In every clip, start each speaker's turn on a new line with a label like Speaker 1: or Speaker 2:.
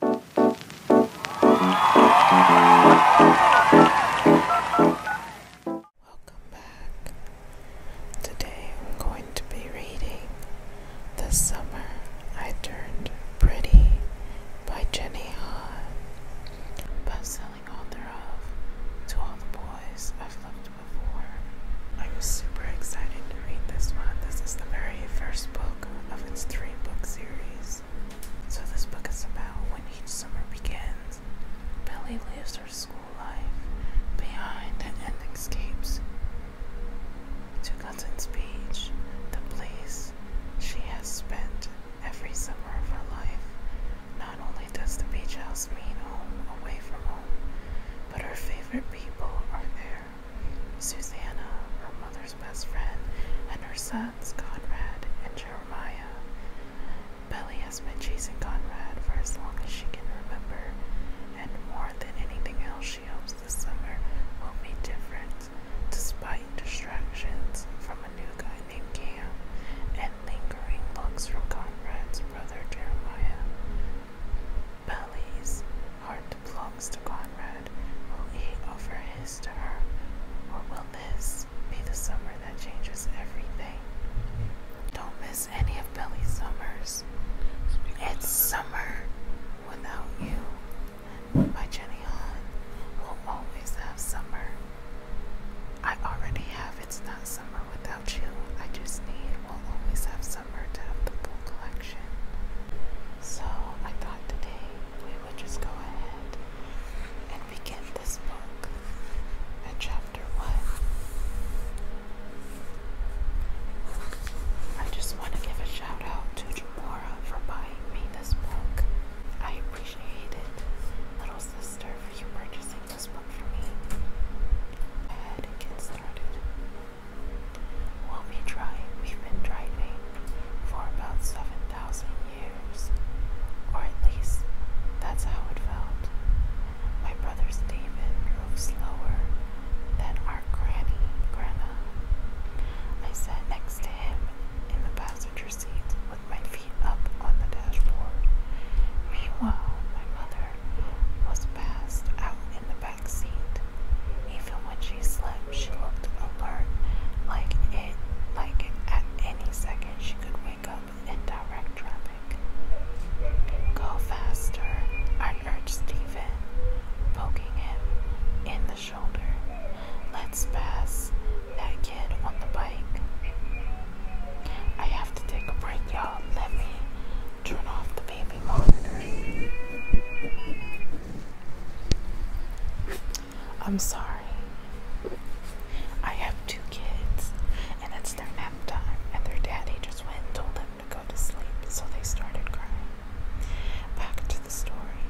Speaker 1: Welcome back. Today I'm going to be reading The Summer I Turned Pretty by Jenny Hahn. Best-selling author of To All the Boys I've Loved Before. I'm super excited to read this one. This is the very first book of its three book series. So, this book is about when each summer begins, Billy leaves her school life behind and escapes to Gunson's Beach, the place she has spent every summer of her life. Not only does the beach house mean home away from home, but her favorite people are there. Susanna, her mother's best friend, and her sons Conrad and Jeremiah. Belly has been chasing Conrad for as long as she can remember, and more than anything else, she hopes this summer will be different, despite distractions from a new guy named Cam and lingering looks from Conrad's brother Jeremiah. Belly's heart belongs to Conrad will eat or his to her, or will this be the summer that changes everything? Don't miss any of Billy's summers. It's Summer Without You by Jenny Hahn. will always have summer. I already have It's Not Summer Without You. I just need We'll Always Have Summer to have the full collection. So I thought today we would just go ahead and begin this book chapter one. I just want to give a shout out to Jamora for buying me this book. I appreciate it, little sister, for you purchasing this book for me. ahead and get started. We'll be trying, we've been driving for about 7,000 years, or at least that's how it felt. My brother Stephen drove slower than our granny, Grandma. I sat next to him in the passenger seat with my feet up on the dashboard. Meanwhile, my mother was passed out in the back. Even when she slept, she looked alert, like it, like at any second she could wake up in direct traffic. Go faster, I urge Stephen, poking him in the shoulder. Let's pass that kid on the bike. I have to take a break, y'all. Let me turn off the baby monitor. I'm sorry. I have two kids, and it's their nap time, and their daddy just went and told them to go to sleep, so they started crying. Back to the story.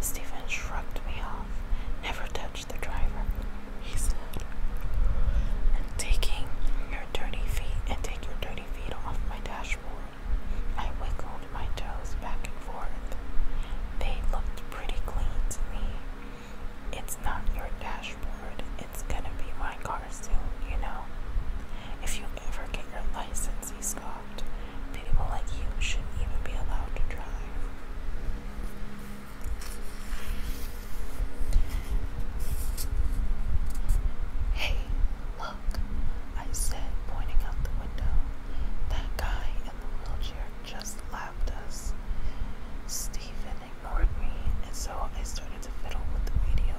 Speaker 1: Stephen shrugged me off, never touch the driver, he said. And taking your dirty feet and take your dirty feet off my dashboard. I wiggled my toes back and forth. They looked pretty clean to me. It's not your dashboard, it's gonna be my car soon, you know. If you ever get your license, he scoffed, people like you shouldn't even be allowed to drive. Hey, Look, I said, pointing out the window. That guy in the wheelchair just lapped us. Stephen ignored me, and so I started to fiddle with the radio.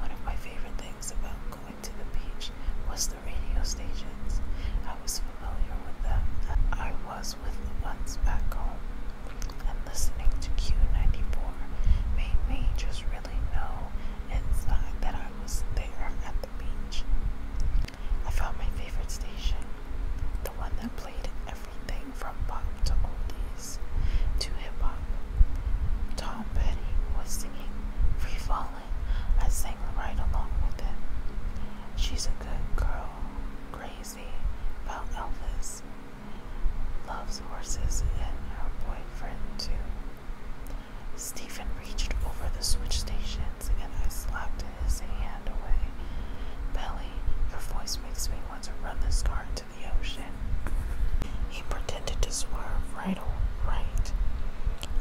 Speaker 1: One of my favorite things about going to the beach was the radio stations. I was familiar with them. I was with the ones back home, and listening to Q94 made me just really really inside that I was there at the beach. I found my favorite station, the one that played everything from pop to oldies to hip hop. Tom Petty was singing Free Falling. I sang right along with it. She's a good girl, crazy about Elvis. Loves horses and her boyfriend too. Stephen reached over the switch stations and I slapped his hand away. Belly, your voice makes me want to run this car into the ocean. He pretended to swerve right or right.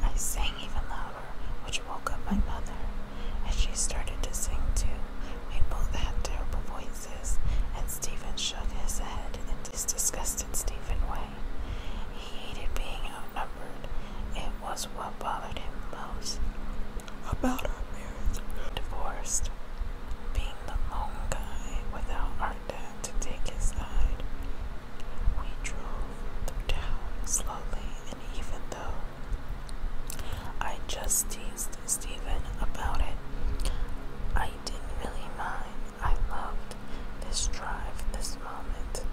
Speaker 1: I sang even louder, which woke up my mother, and she started to sing too. We both had terrible voices, and Stephen shook his head in this disgusted Stephen way. He hated being outnumbered. It was what bothered him most about our marriage. Divorced. Being the lone guy without our dad to take his side. We drove through town slowly, and even though I just teased Stephen about it, I didn't really mind. I loved this drive, this moment.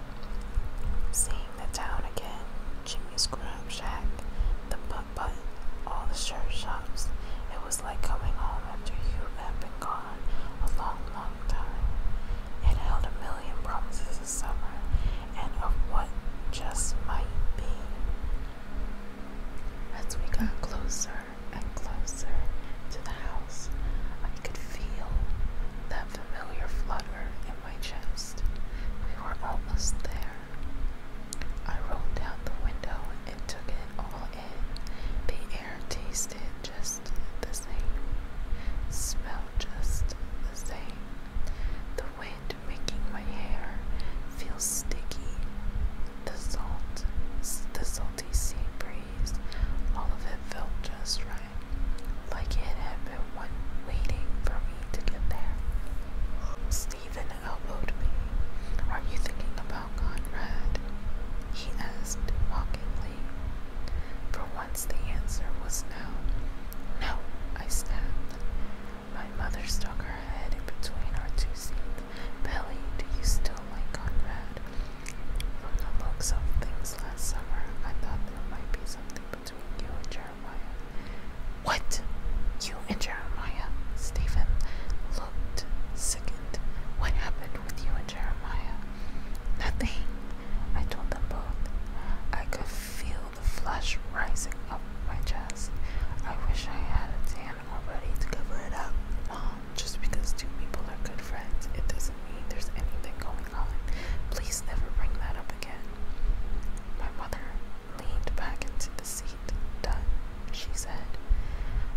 Speaker 1: Seeing the town again, Jimmy's Grab Shack, the putt Button, all the shirt shops. It was like coming home after you had been gone a long, long time. It held a million promises of summer and of what just might be. As we got closer, and closer to the house. I could feel that familiar flutter in my chest. We were almost there. I rolled down the window and took it all in. The air tasted just the same, smelled just the same. The wind making my hair feel sticky. The salt, the salty sea breeze raised. All of it felt just right, like it had been waiting for me to get there. Stephen elbowed me. Are you thinking about Conrad? He asked mockingly. For once the answer was no. No, I snapped. My mother stuck her head in between our two seats. Billy, do you still like Conrad? From the looks of things last summer, I thought there might be something between you and Jeremiah. What? You and Jeremiah? Stephen looked sickened. What happened with you and Jeremiah? Nothing, I told them both. I could feel the flush rising up my chest. I wish I had a tan already to cover it up. Mom, just because two people are good friends, it doesn't mean there's anything going on. Please never bring that up again. My mother leaned back into the seat. Done, she said.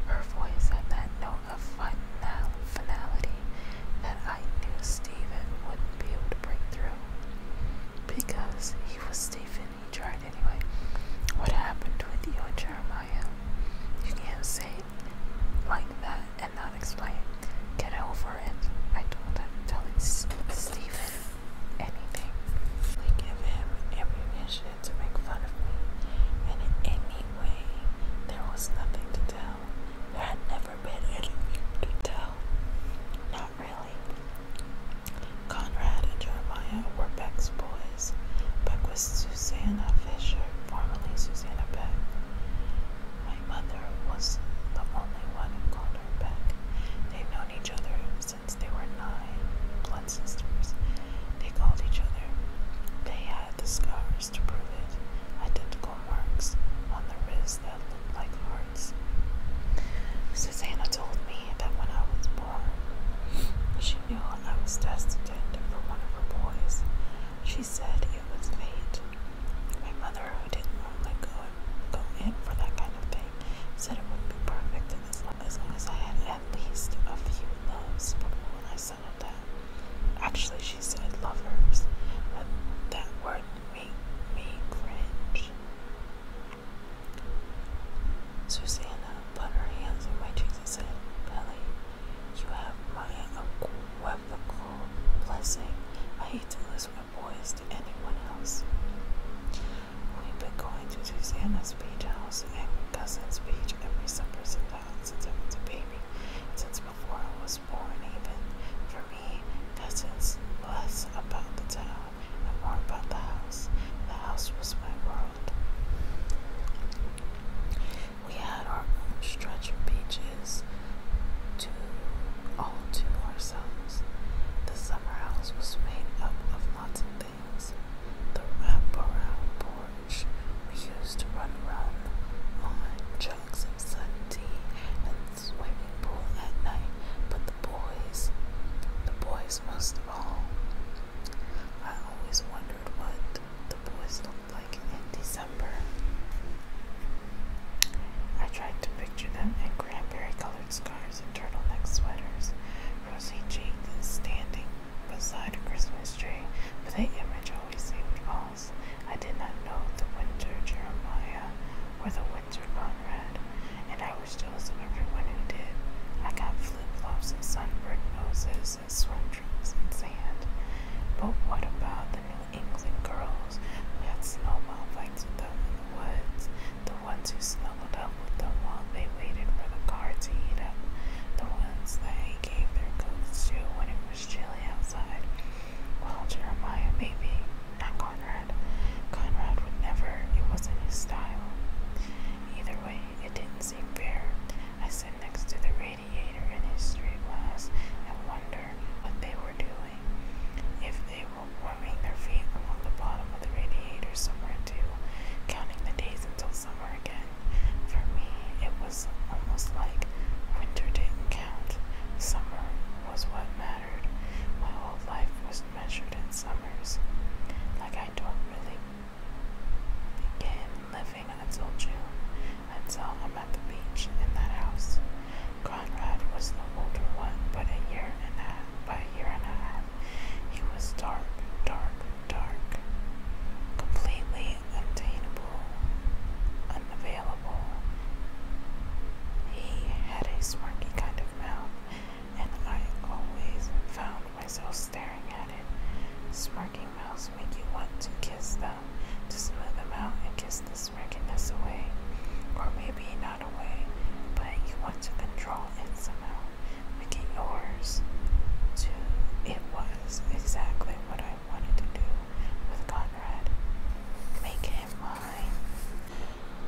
Speaker 1: Her voice had that note of final finality that I knew Stephen wouldn't be able to break through. Because he was Stephen, he tried anyway. What happened with you and Jeremiah? You can't say like that and not explain. Get over it. I told him, telling Stephen anything. We give him ammunition to make fun of me, in any way, there was nothing to tell. There had never been anything to tell. Not really. Conrad and Jeremiah were Beck's boys. Boys, Beck was Susanna Fisher, formerly Susanna Beck. My mother was the only one who called her Beck. they would known each other since they were nine, blood sisters. They called each other. They had the scars to prove it, identical marks on the wrists that looked like hearts. Susanna told me that when I was she knew I was destined for one of her boys. She said it was fate. My mother, who didn't normally go, go in for that kind of thing, said it would not be perfect as long, as long as I had at least a few loves before I settled down. Actually, she said lovers, that word made me cringe. Susanna uh, put her hands on my cheeks and said, Billy, you have my unequivocal blessing. I hate to lose my voice to anyone else. We've been going to Susanna's beach house and cousin's beach every summer since I was a baby, since before I was born even. For me, cousins less about the town and more about the house. The house was my world. We had our own stretch of beaches to all to ourselves. The summer house was made up of lots of things. The wraparound porch we used to run around on jugs of sun and the swimming pool at night. But the boys, the boys most of all, I always wondered what the boys looked like in December. I tried to picture them in cranberry colored scarves and turtleneck sweaters, rosy cheeked and standing beside a Christmas tree, but the image always seemed false. I did not know the winter Jeremiah or the winter Conrad, and I was jealous of everyone who did. I got flip flops and sunburned noses dances, swim trunks, and sand. But what about the New England girls who had snowball fights with them in the woods? The ones who snuggled up with them while they waited for the car to heat up? The ones they gave their coats to when it was chilly outside? Well, Jeremiah, maybe. Not Conrad. Conrad would never, it wasn't his style. Either way, it didn't seem fair. I sat next to the radiator in history class and wondered what they were doing. If they were warming their feet along the bottom of the radiator somewhere too, counting the days until summer again. For me, it was almost like winter didn't count. Summer was what mattered. My whole life was measured in summers. Like I don't really Again, living, I you, until I'm at the beach in that house. Conrad was the older one, but a year and a half, by a year and a half, he was dark, dark, dark, completely untainable, unavailable. He had a smirky kind of mouth, and I always found myself staring at it. Smirking mouths make you want to kiss them, to smooth them out and kiss the smirkiness away. Or maybe not away, but you want to control it somehow. Make it yours. Too, it was exactly what I wanted to do with Conrad. Make him mine.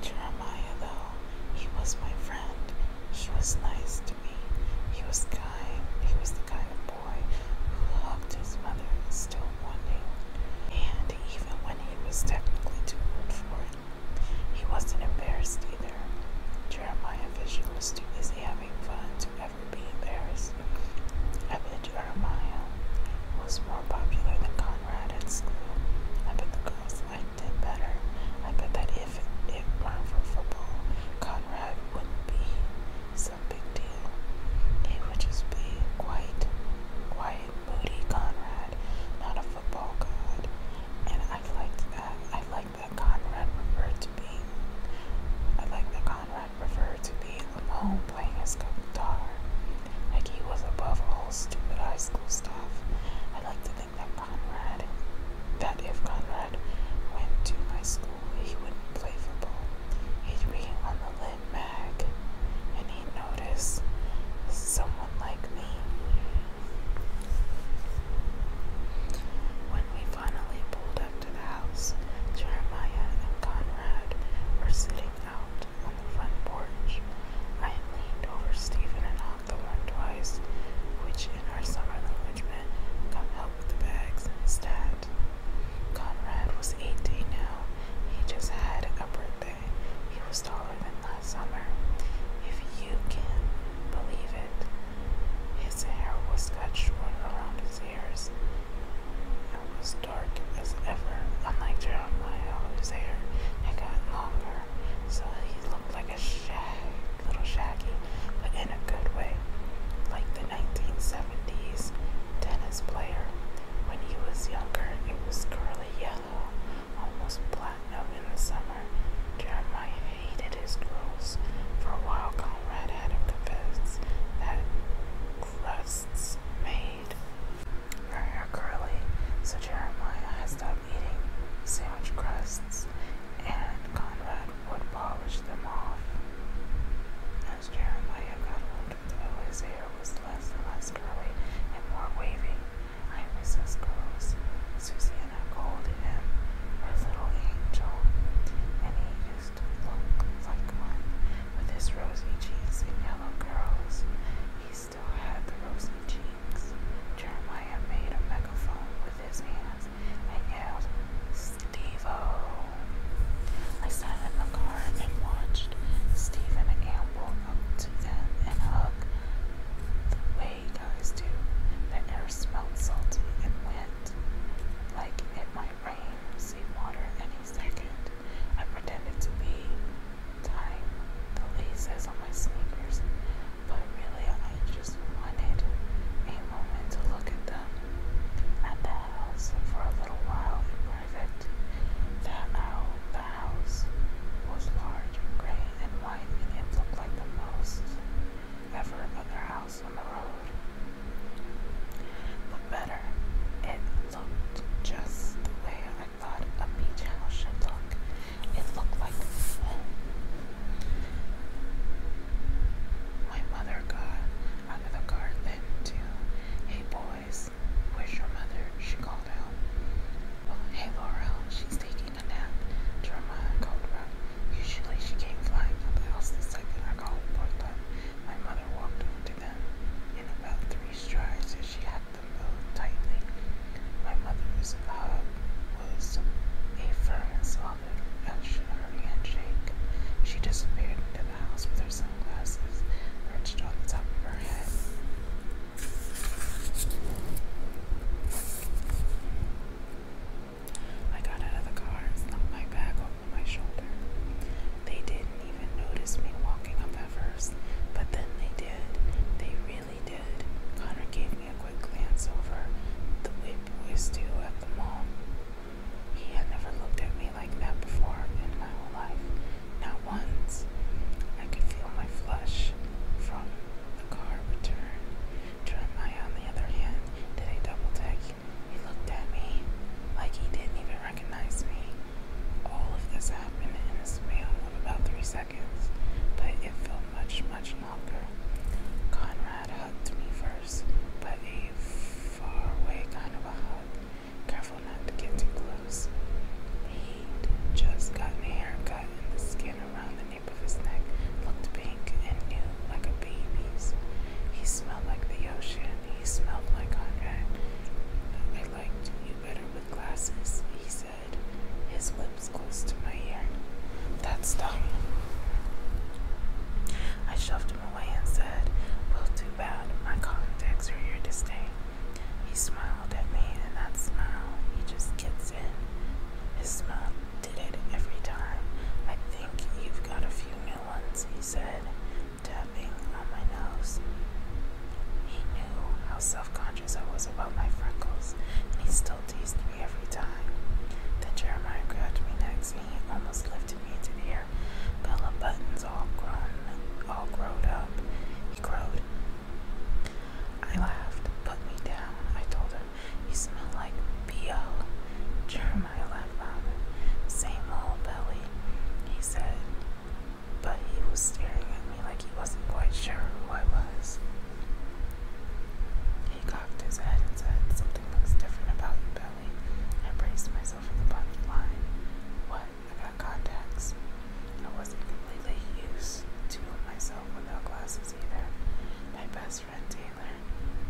Speaker 1: Jeremiah though, he was my friend friend. He was nice to me. He was kind. He was the kind of boy who hugged his mother, still wanting. And even when he was technically too old for it, he wasn't embarrassed either. Jeremiah was just too busy having fun to ever be embarrassed. I bet Jeremiah was more popular than Conrad at school. I bet the girls liked did better. I bet that if it weren't for football, Conrad wouldn't be some big deal. He would just be quite, quite moody Conrad, not a football god. And I liked that. I liked that Conrad referred to being. I like that Conrad referred to being alone playing his guitar. Like he was above all stupid high school stuff. I like that that Conrad, that if Conrad went to my school, he wouldn't play football. He'd be on the lit and he'd notice someone like me. When we finally pulled up to the house, Jeremiah and Conrad were sitting out on the front porch. I leaned over Stephen and I the one twice, which in our summer language meant come help with the bags and his dad. Conrad was 18 now. He just had a birthday. He was taller than last summer. If you can believe it, his hair was cut short around his ears. and was dark as ever, unlike Jeremiah, whose hair it got longer, so he looked looked like a shag, little shaggy, but in a good way, like the 1970s tennis player. When he was younger, it was curly yellow, almost platinum in the summer. Jeremiah hated his curls. For a while, Conrad had him confess that crusts made her hair curly, so Jeremiah has to from eating sandwich crusts, and Conrad would polish them off. As Jeremiah got older, though, his hair was less and less curly and more wavy. I miss his curls. Susanna called him her little angel, and he used to look like one with his rosy cheeks and yellow curls. He still had the rosy cheeks. Jeremiah made a megaphone with his hands and yelled, Steve-o. I sat in the car and watched Steve and Stephen amble up to them and hug the way guys do. The air smelled salty and wet, like it might rain seawater any second. I pretended to be tying the laces on my sneakers but really I just wanted a moment to look at them at the house for a little while in private. That owl, the house was large gray and white, and looked like the most ever other house on the road. But better, it looked just the way I thought a beach house should look. It looked like home. My mother got out of the car then too. Hey boys, where's your mother? She called out. Well, hey Laurel, she's taking a nap. Jeremiah called back. Usually she came flying from the house the second I called for My mother walked over to them in about three strides as she had them both tightly my mother's hug was a firm and solid her handshake. She disappeared into the house with her sunglasses perched on the top of her head. I got out of the car and slung my bag over my shoulder. They didn't even notice me walking up at first, but then they did. They realized Connor gave me a quick glance over the way boys do at the mall. He had never looked at me like that before in my whole life. Not once. I could feel my flush from the car return. Jeremiah, on the other hand, did a double take. He looked at me like he didn't even recognize me. All of this happened in a span of about three seconds, but it felt much, much Conrad hugged me first, but a far away kind of a hug. Careful not to get too close. He'd just gotten a haircut, and the skin around the nape of his neck looked pink and new, like a baby's. He smelled like the ocean. He smelled like Conrad. I liked you better with glasses, he said his lips close to my ear. That's dumb. I shoved him away and said, Well, too bad. My contacts are here to stay. He smiled at me, and that smile, he just gets in. His smile did it every time. I think you've got a few new ones, he said, tapping on my nose. He knew how self conscious I was about my freckles, and he still still teased me every time. Then Jeremiah grabbed me next and he almost lifted me to the air. Bella Buttons all grown, all growed up. He crowed. I laughed. Put me down, I told him. he smelled like B.O. Jeremiah laughed louder. Same old belly, he said. But he was staring at me like he wasn't quite sure who I was. He cocked his head and said, Something looks different about your Belly. I braced myself for the punch line. What? I got contacts. I wasn't completely used to myself without glasses either. My best friend Taylor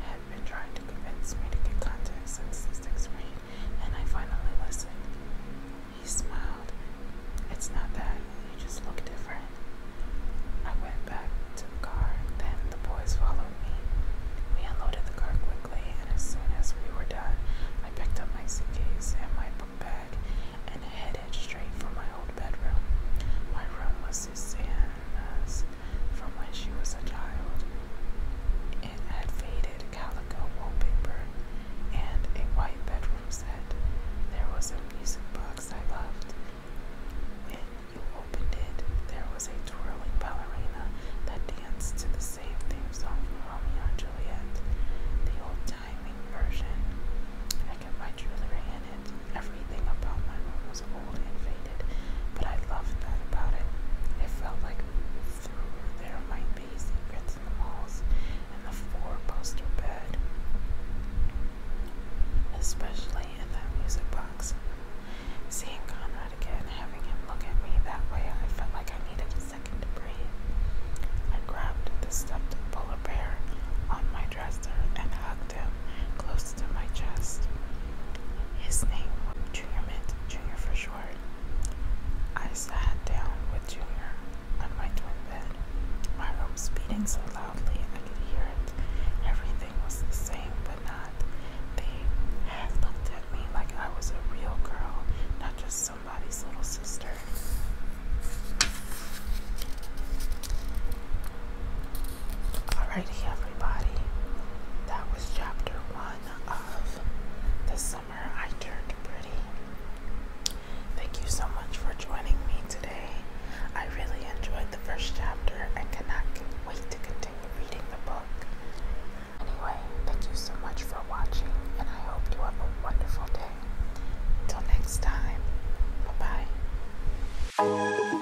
Speaker 1: had been trying to convince me to get contacts since sixth grade, and I finally listened. He smiled. It's not that, you just look different. I went back to the car, then the boys followed me. We unloaded the car quickly, and as soon as we were done, I picked up my suitcase and my book bag and headed straight for my old bedroom. My room was Susanna's from when she was a child. It had faded calico wallpaper and a white bedroom set. There was a music box. I loved. When you opened it, there was a twirling ballerina that danced to the same theme song from Romeo and Juliet, the old-timing version. I kept my jewelry in it. Everything about my room was old and faded, but I loved that about it. It felt like through there might be secrets in the walls in the four-poster bed, especially in that music box. Seeing Conrad again, having him look at me that way, I felt like I needed a second to breathe. I grabbed the stuffed polar bear on my dresser and hugged him close to my chest. His name was Junior Mint, Junior for short. I sat down with Junior on my twin bed. My heart beating so loudly I could hear it. Everything was the same, but not. They had looked at me like I was a real girl, not just somebody's little sister. Alrighty, everybody. That was chapter one of The Summer I Turned Pretty. Thank you so much for joining me today. I really enjoyed the first chapter and cannot wait to continue reading the book. Anyway, thank you so much for watching, and I hope you have a wonderful day. Till next time, bye bye.